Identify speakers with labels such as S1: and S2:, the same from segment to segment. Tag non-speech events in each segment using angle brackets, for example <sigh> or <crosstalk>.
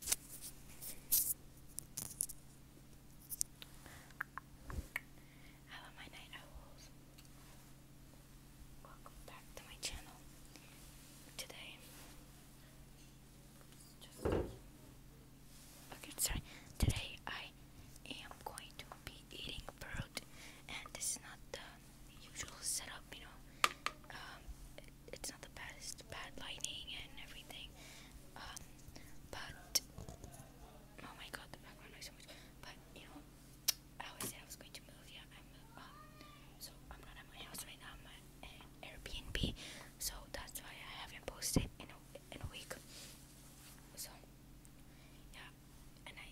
S1: Hello, my night owls. Welcome back to my channel. Today, okay. Sorry. Today I am going to be eating fruit, and this is not the usual setup. You know, um, it's not the best, bad lighting and everything. Um, but oh my god, the background noise But you know, I always said I was going to move. Yeah, I'm. Um, so I'm not at my house right now. I'm at Airbnb, so that's why I haven't posted in a in a week. So yeah, and I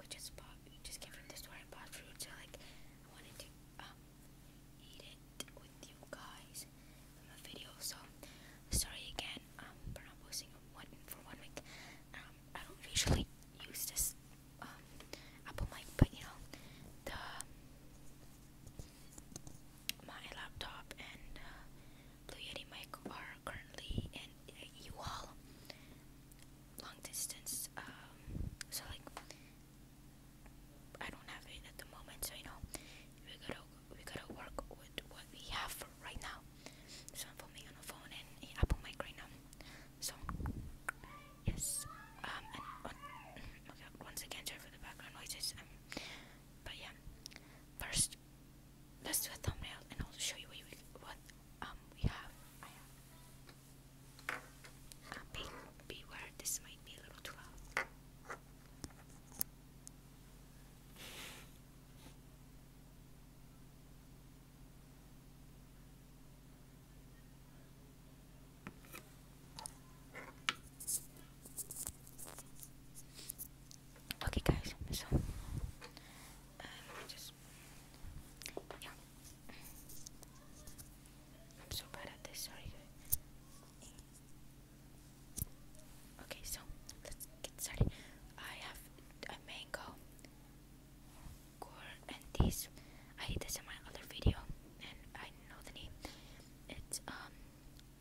S1: we just bought we just came from the store and bought fruits. So like I wanted to um, eat it with you guys in my video. So sorry again um, for not posting one for one week. Um, I don't usually use this um, Apple mic, but you know the my laptop and uh, Blue Yeti mic are currently in you all long distance. Um, so like I don't have it at the moment, so you know we gotta we gotta work with what we have right now. So I'm on the phone and Apple Mic right now. So yes, um, <coughs> okay, once again, sorry for the background noises. Um, but yeah, first let's do a thumbnail and I'll show you what, um we have. Copy. Beware, this might be a little too Okay, guys, so um, just. Yeah, I'm so bad at this, sorry Okay, so let's get started. I have mango, corn, and these. I did this in my other video, and I know the name. It's um,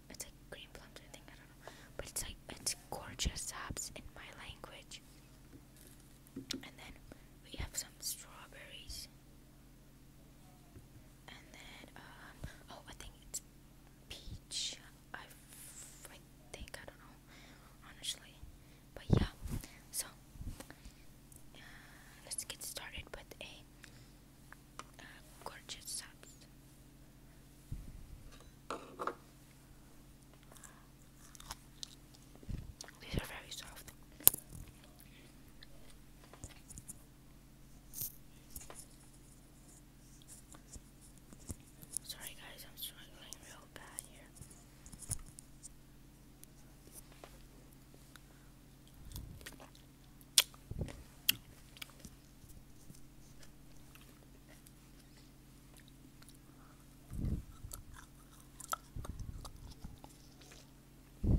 S1: it's like green plums, I think. I don't know, but it's like it's gorgeous apps in my language. And then we have some strawberries. And then, um, oh, I think it's peach. I, think, I don't know, honestly. But yeah, so uh, let's get started with a uh, gorgeous subs. These are very soft. Sorry, guys, I'm struggling real bad here. Oh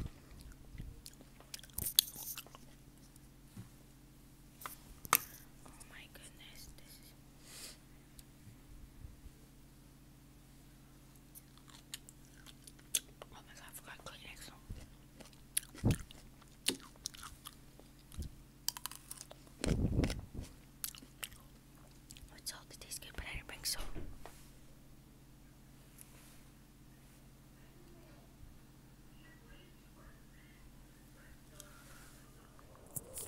S1: my goodness, this is Oh my god, I forgot Kleenex. With salt, it tastes good, but I didn't bring salt.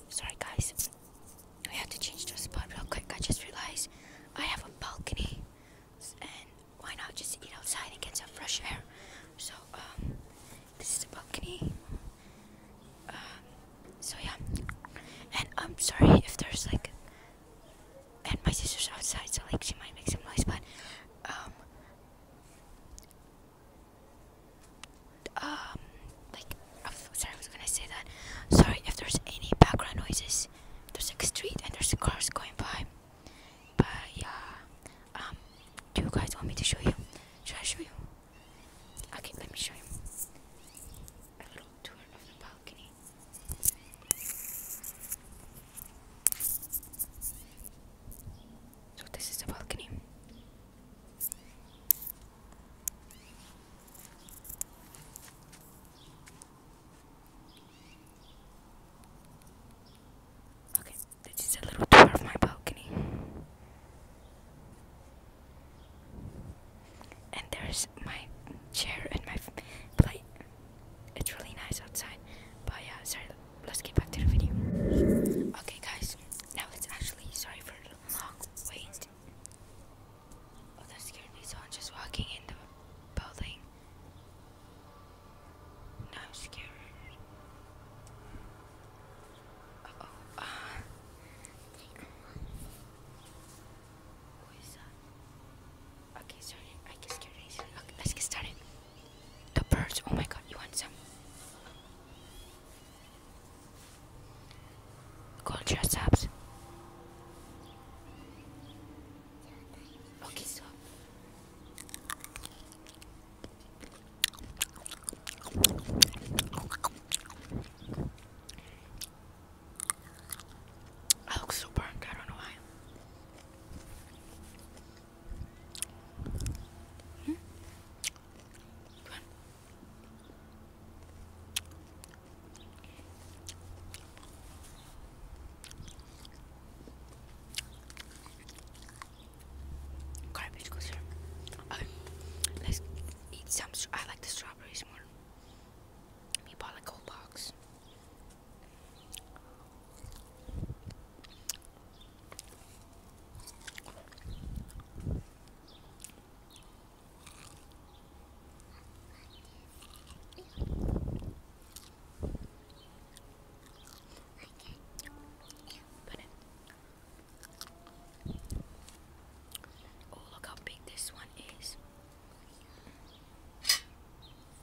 S1: Sorry, guys. We have to change the spot real quick. I just realized I have a balcony, and why not just eat outside and get some fresh air? So, um, this is the balcony. Um, so yeah and i'm sorry if there's like and my sister's outside so like she might make some noise but um um like sorry i was gonna say that sorry if there's any background noises there's a street and there's cars going by but yeah um do you guys want me to show you should i show you Okay, let me show you a little tour of the balcony. So this is the balcony. Okay, this is a little tour of my balcony. And there's my chair and my plate. It's really nice outside. But yeah, sorry, let's get back to the video. Okay, guys, now it's actually sorry for the long wait. Oh, that scared So I'm just walking in the building. Now i Okay, let's get started. The birds. Oh my god, you want some? Culture subs. Okay, so I look so burnt, I don't know why. Hmm? Good eat some. I like the strawberries more. We bought like a box. Put it. Oh, look how big this one is. <gasps>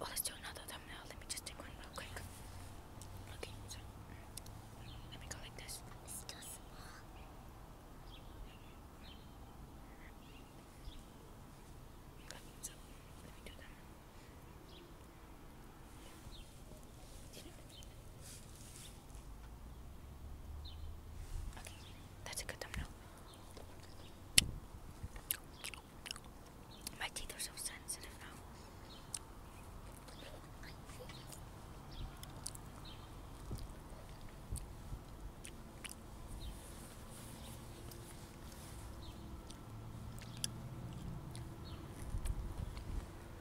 S1: Oh, let's do another thumbnail. Let me just take one real quick. Okay, mm, let me go like this. It's too small. So, let me do that that's a good thumbnail. My teeth are so sensitive now.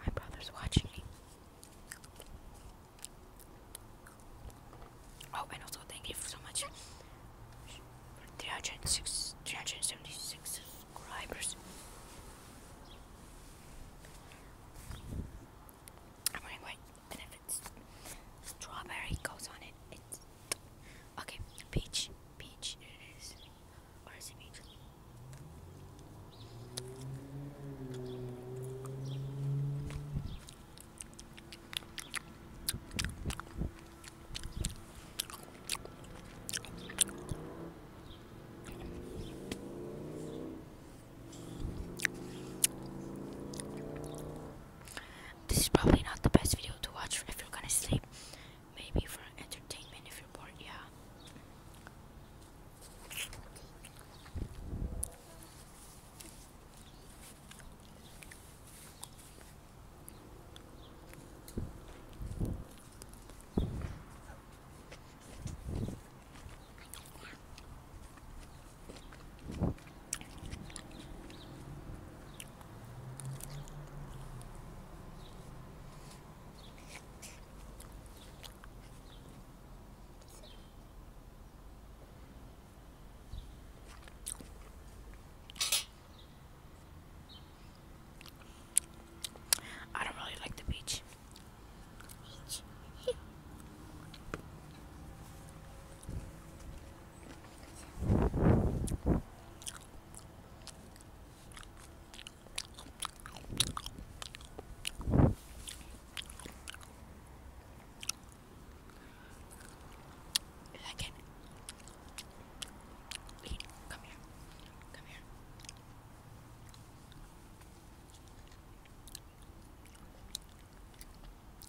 S1: My brother's watching me. Oh, and also thank you so much for 376, subscribers. I'm gonna and if it's strawberry goes on it, Okay, peach, peach, it is. Or it peach? This is probably not the best video to watch if you're gonna sleep. Maybe for entertainment if you're bored, yeah. I don't really like the beach. <laughs> Like it. Wait, come here. Come here.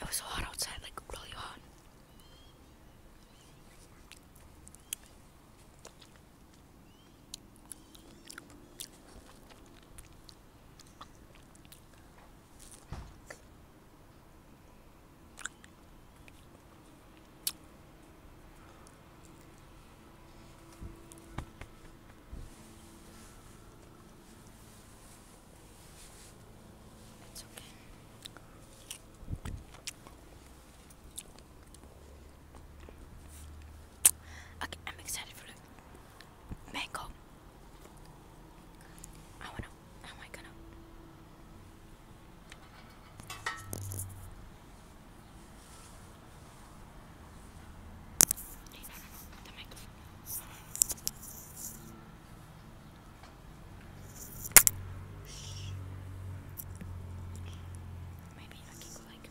S1: It was hot outside, like really hot. It's okay. Okay, I'm excited for the mango. I wanna. How am I gonna? Maybe I can go like.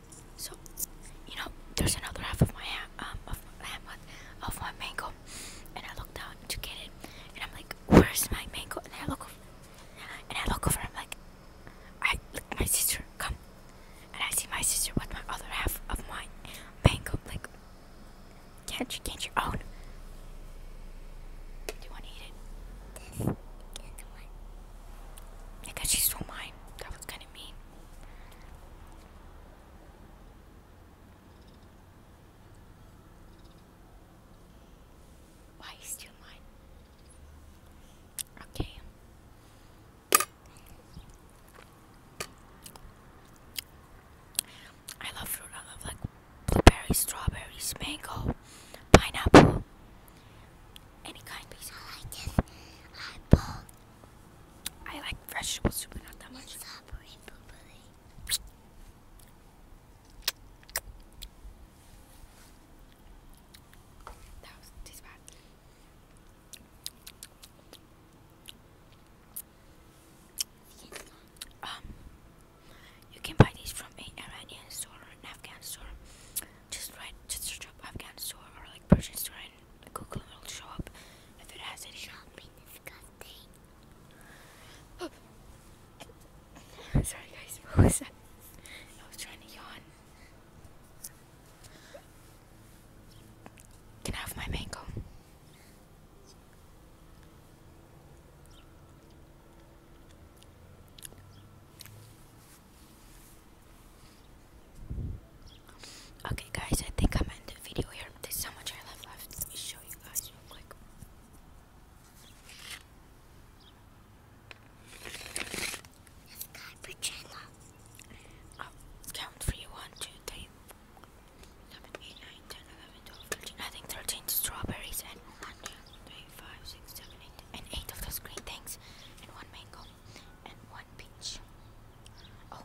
S1: So, you know, there's another half of my um of my of my mango, and I look down to get it, and I'm like, where's my mango? And I look over, and I look over, and I'm like, I look at my sister come, and I see my sister with my other half of my mango. Like, can't you can't you own? Do you want to eat it? Because she stole mine. That was kind of mean. Why still mine? Okay. I love fruit. I love like blueberry, strawberries, mango, pineapple, any kind. Because I like this apple. I like vegetable soup, but not that much. That was Um, you can buy these from an Iranian store or an Afghan store. Just write, just search up Afghan store or like Persian store and Google will show up if it has any. Shopping disgusting. <gasps> Sorry guys, what was that? I was trying to yawn. Can I have my mango? Okay, guys, I think I'm end the video here. There's so much I left left. Let me show you guys real quick. Oh, count for you 1, I think 13 strawberries and 1, and 8 of those green things and 1 mango. Oh,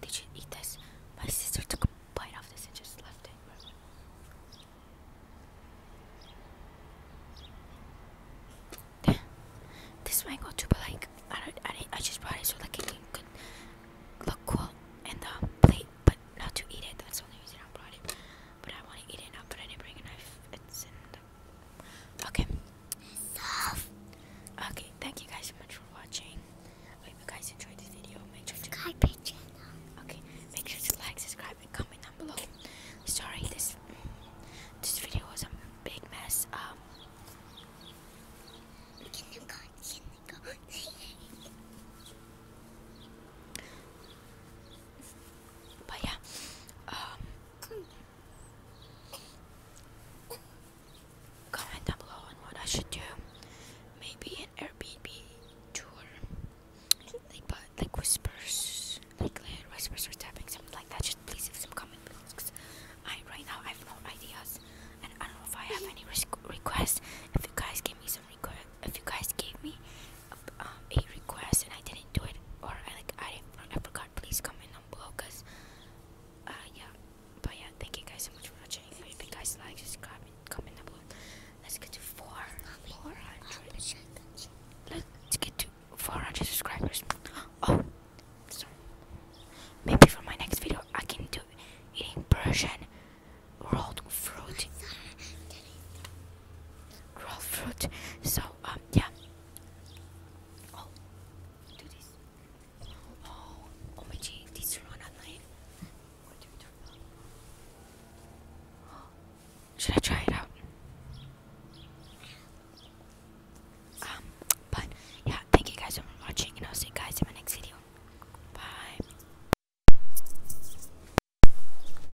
S1: did you eat this? My sister took a bite off this and just left it. Damn. This mango too, but like I, don't, I, just brought it so like it could look cool in the plate, but not to eat it. That's the only reason I brought it. But I want to eat it now, but I didn't bring a knife. It's in the Okay. Okay, thank you guys so much for watching. I hope you guys enjoyed this video. Make sure to channel. Okay, make sure to like, subscribe, and comment down below. Sorry, this mm, this video was a big mess. Um. But yeah, um, Comment down below on what I should do. Maybe an Airbnb tour, like whispers. like whispers, like whispers or tapping, something like that. Just please leave some comments because I right now I have no ideas, and I don't know if I have any requests. If you guys gave me some requests, if you guys gave me um, a request and I didn't do it, or I like I I forgot. Please comment down below, cause uh yeah. But yeah, thank you guys so much for watching. If you guys like, subscribe, and comment down below. Let's get to four four hundred. Let's get to four hundred subscribers. <gasps> Oh, sorry. Maybe for my next video, I can do eating Persian world fruit. world fruit. So Oh, um, yeah. Oh, do this. Oh, oh my gee, these turn on at night. <gasps> should I try it out? Um, but yeah, thank you guys for watching, and I'll see you guys in my next video. Bye.